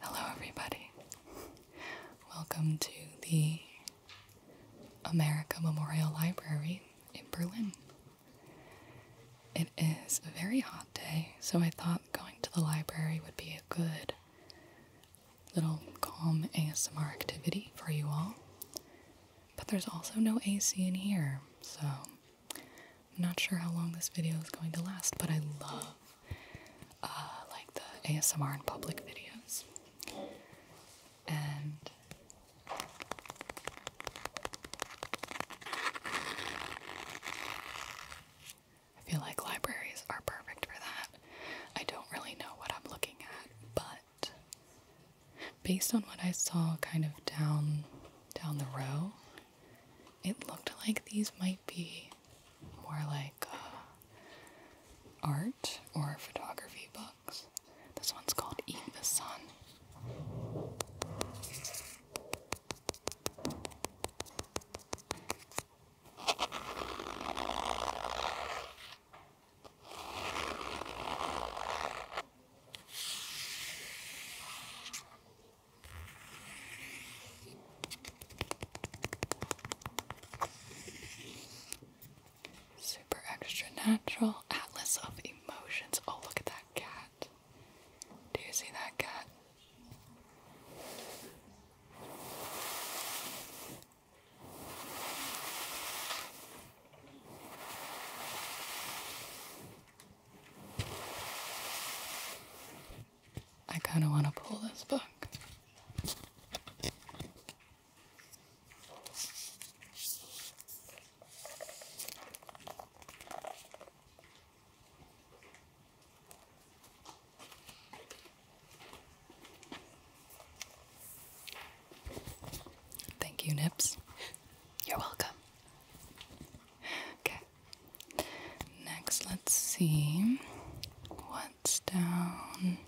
Hello, everybody. Welcome to the America Memorial Library in Berlin. It is a very hot day, so I thought going to the library would be a good little calm ASMR activity for you all. But there's also no AC in here, so I'm not sure how long this video is going to last, but I love uh, like the ASMR in public videos. And I feel like libraries are perfect for that. I don't really know what I'm looking at, but based on what I saw kind of down down the row, it looked like these might be more like uh, art or photography books. This one's called Eat the Sun. Super extra natural atlas of emotions. Oh, look at that cat. Do you see that cat? I kind of want to pull this book. Thank you, Nips. You're welcome. Okay. Next, let's see what's down.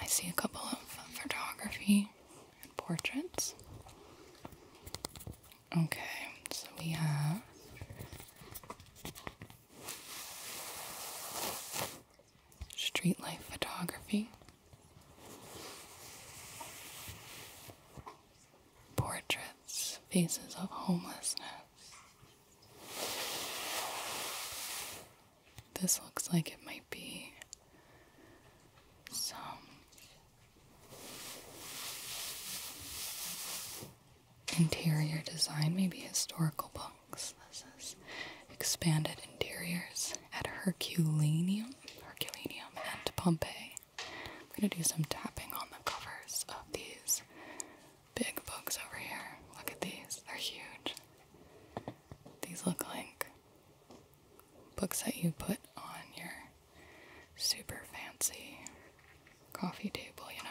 I see a couple of photography and portraits. Okay, so we have. Street life photography portraits, faces of homelessness. This looks like it might be some interior design, maybe historical books. This is expanded interiors at Herculaneum, Herculaneum and Pompeii. I'm going to do some tapping on the covers of these big books over here. Look at these, they're huge. These look like books that you put on your super fancy coffee table, you know.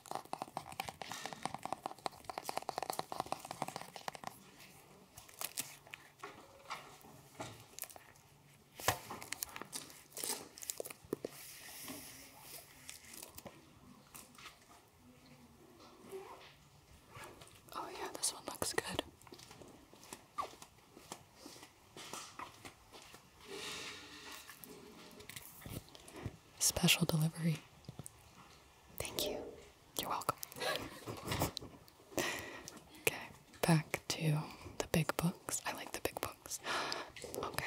Oh, yeah, this one looks good. Special delivery. Thank you. You're welcome. okay, back to the big books. I like the big books. Okay.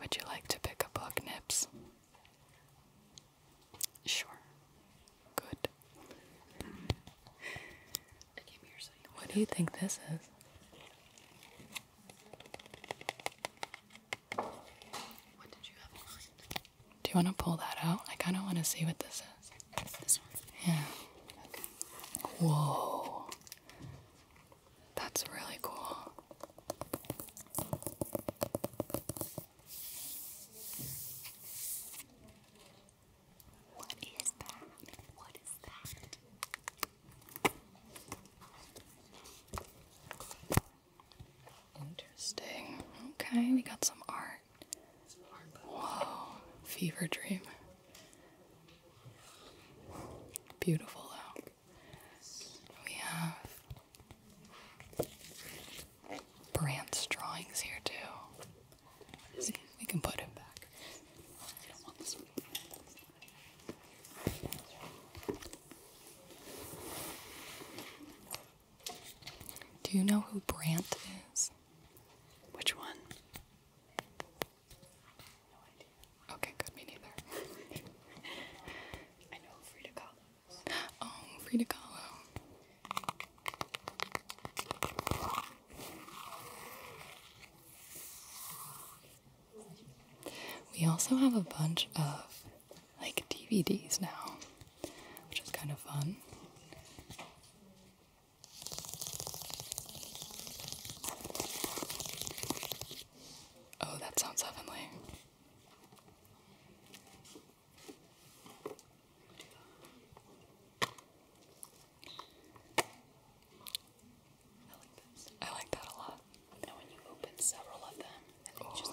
Would you like to pick a book, Nips? Sure. Good. What do you think this is? What did you have do you want to pull that out? I kind of want to see what this is. This one? Yeah. Okay. Whoa. That's really cool. What is that? What is that? Interesting. Okay, we got some art. Whoa, fever dream. Beautiful We have Brandt's drawings here too. See, we can put him back. Do you know who Brant is? Which one? No idea. Okay, good, me neither. I know Frida Kahlo. Oh, Frida Kahlo. We also have a bunch of like DVDs now, which is kind of fun. Oh, that sounds heavenly. I like that a lot. And when you open several of them, and oh. just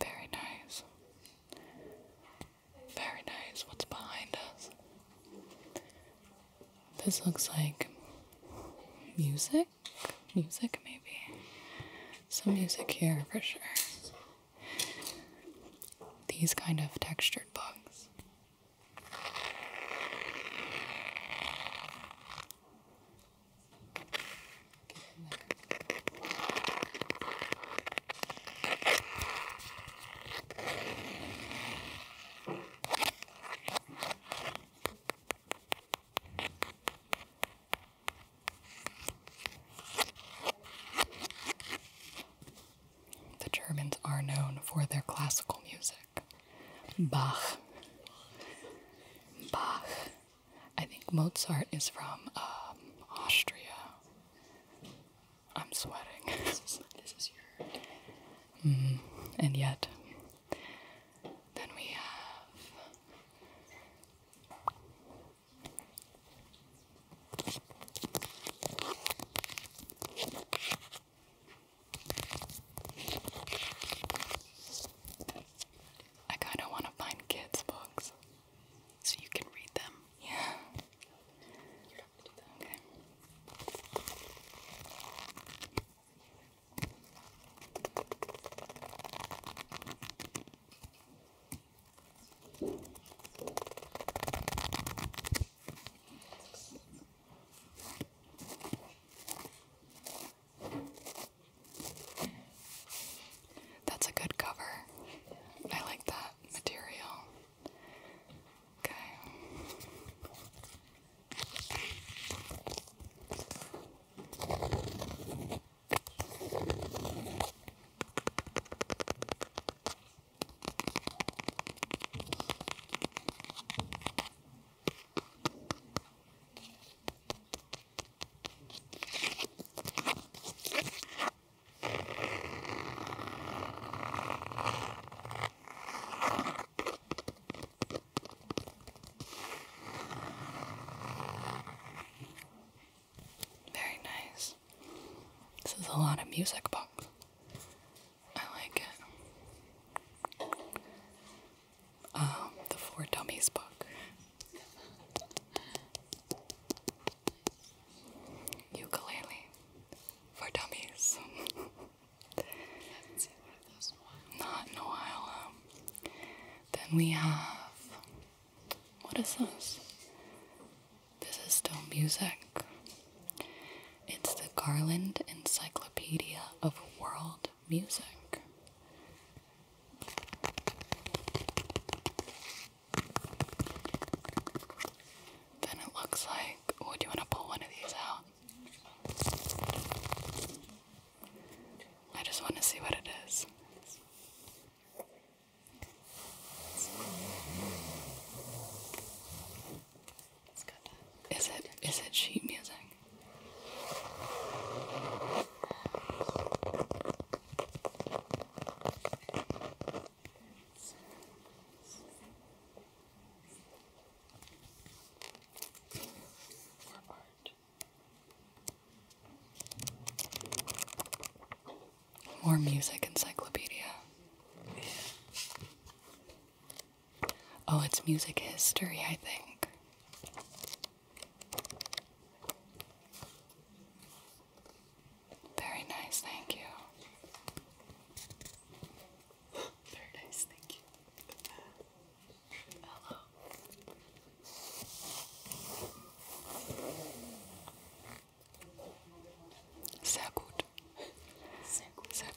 Very nice. Very nice. What's behind us? This looks like music? Music, maybe? Some music here for sure. These kind of textured bugs. The Germans are known for their classical music. Bach. Bach. I think Mozart is from um, Austria. I'm sweating. this, is, your. Mm, and yet, then we have. I kind of want to find kids' books so you can read them. Yeah. That's a good cover. I like that material. Okay. Very nice. This is a lot of music box. I like it um, the Four Dummies book. Ukulele for Dummies. not in a while. Um, then we have. What is this? This is still music. It's the Garland Encyclopedia of World music. Then it looks like. Oh, you want to pull one of these out? I just want to see what it is. Is it is it sheet music? More music encyclopedia. Oh, it's music history, I think. Very nice, thank you. Very nice, thank you. Hello. Sehr gut. Sehr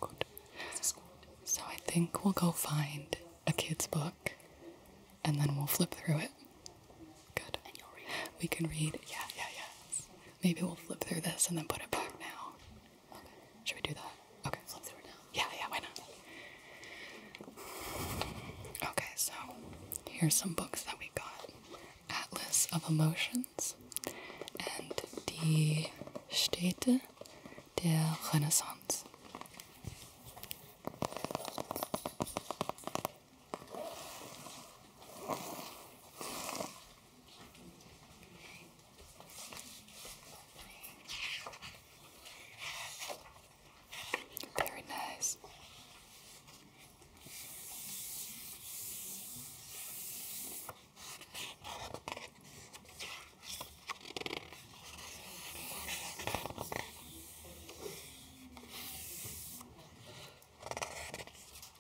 So I think we'll go find a kid's book and then we'll flip through it. Good. And you'll read. We can read. Yeah, yeah, yeah. Maybe we'll flip through this and then put it back now. Okay. Should we do that? Okay. Flip through it now. Yeah, yeah, why not? Okay, so here's some books that we got. Atlas of Emotions and Die Städte der Renaissance. Very nice.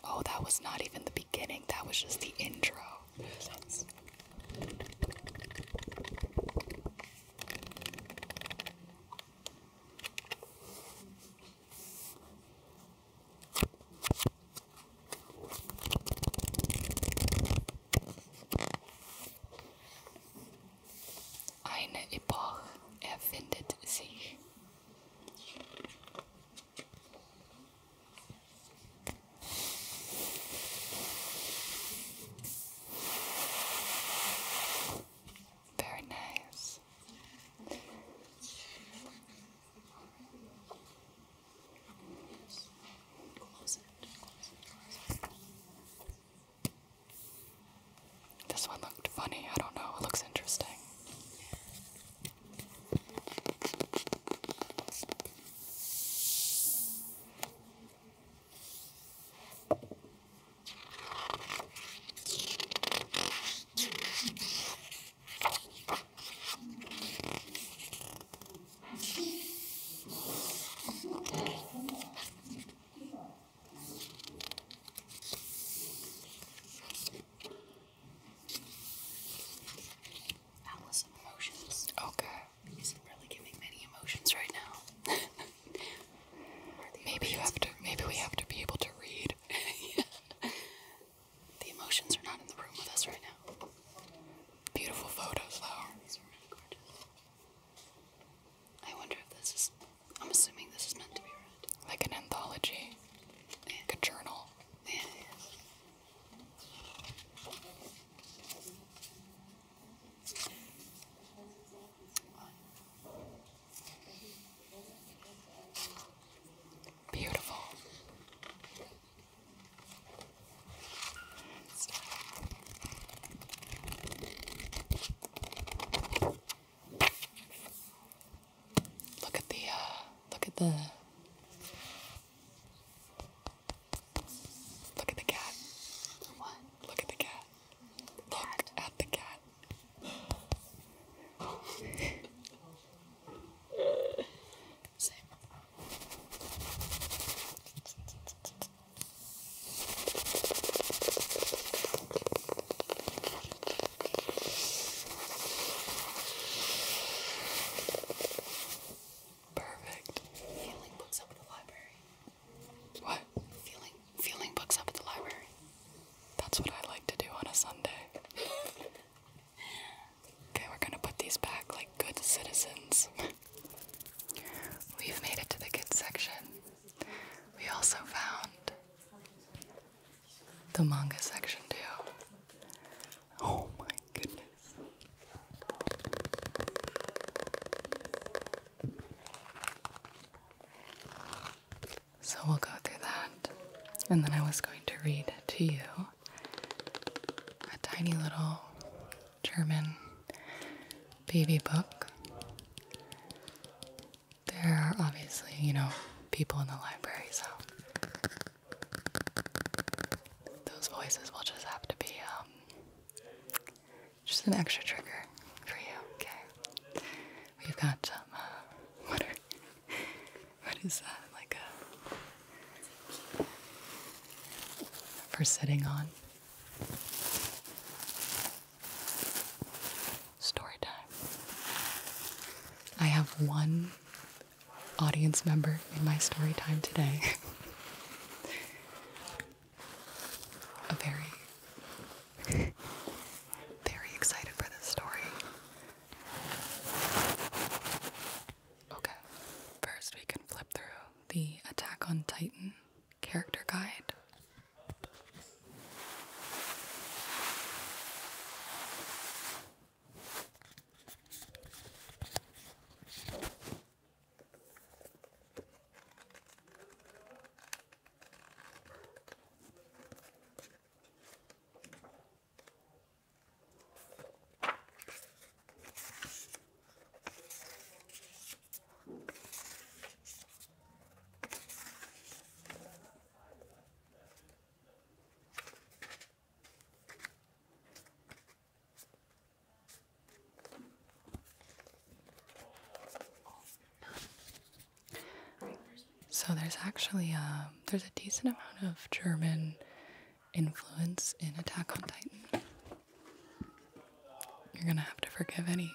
Oh, that was not even the beginning, that was just the intro. Eine Epoche erfindet sich. Very nice. This one looked funny. I don't know. It looks interesting. That was some Okay. really giving many emotions right now. maybe you have to. Maybe we have to be able to read. The emotions are not in the room with us right now. Beautiful photos, though. These were gorgeous. I wonder if this is. I'm assuming this is meant to be read. Like an anthology, like a journal. Beautiful. Look at the, uh, look at the, look at the cat. What? Look at the cat. Look at the cat. Perfect. Feeling books up at the library. What? Feeling feeling books up at the library. That's what I like to do on a Sunday. Okay, we're gonna put these back like good citizens. We've made it to the kids section. We also found the manga section too. Oh my goodness. So we'll go through that. And then I was going to read to you a tiny little German baby book. There are obviously, you know, people in the library, so those voices will just have to be um, just an extra trigger for you, okay? We've got some uh, water. What is that? Like a for sitting on. Story time. I have one audience member in my story time today. a very very excited for this story. Okay, first we can flip through the Attack on Titan character guide. Oh, no. All right, first so there's actually a, um, there's a decent amount of German influence in Attack on Titan. You're gonna have to forgive any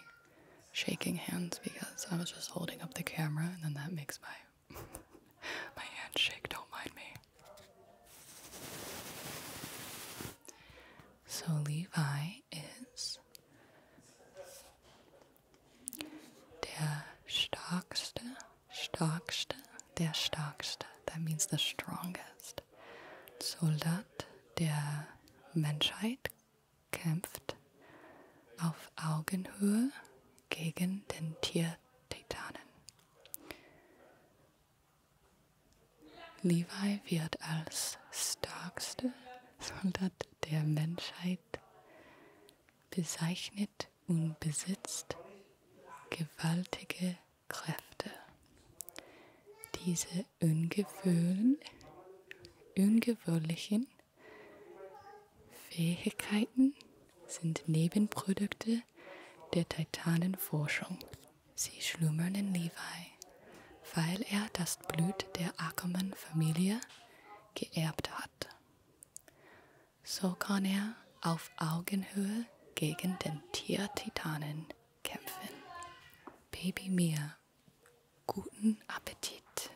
shaking hands because I was just holding up the camera and then that makes my my hand shake, don't mind me. So Levi is der stärkste Starkste, der Starkste, that means the strongest. Soldat der Menschheit kämpft auf Augenhöhe gegen den Tiertitanen. Levi wird als starkste Soldat der Menschheit bezeichnet und besitzt gewaltige Kräfte. Diese ungewöhn, ungewöhnlichen Fähigkeiten sind Nebenprodukte der Titanenforschung. Sie schlummern in Levi, weil er das Blut der Ackermann-Familie geerbt hat. So kann er auf Augenhöhe gegen den Tiertitanen kämpfen. Baby Mir, guten Appetit.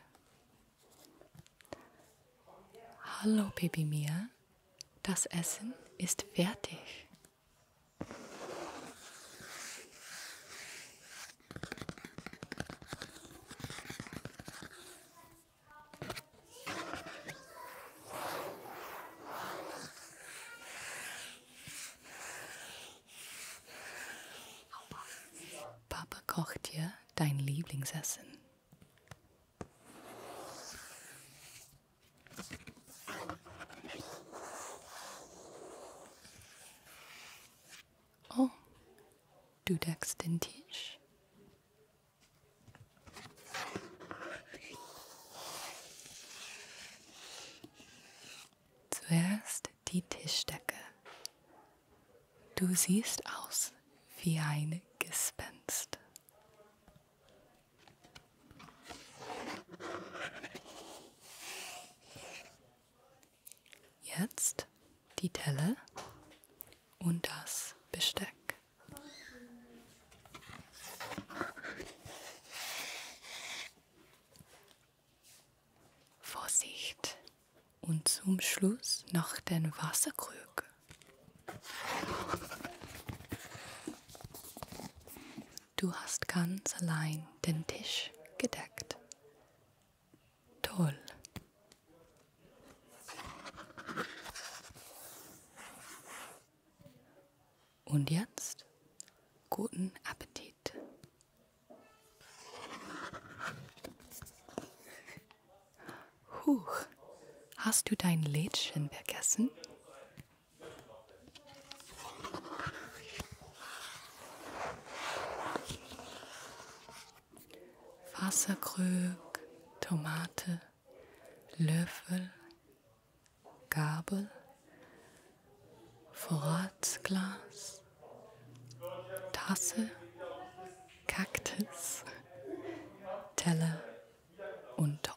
Hallo Baby Mir, das Essen ist fertig. Papa kocht dir dein Lieblingsessen. Oh, du deckst den Tisch. Zuerst die Tischdecke. Du siehst aus wie ein Gespenst. Jetzt die Telle und das Besteck. Vorsicht! Und zum Schluss noch den Wasserkrug. Du hast ganz allein den Tisch gedeckt. Toll. Und jetzt guten Appetit. Huch, hast du dein Lädchen vergessen? Wasserkrug, Tomate, Löffel, Gabel, Vorratsglas, Tasse, Kaktus, Teller und Topf.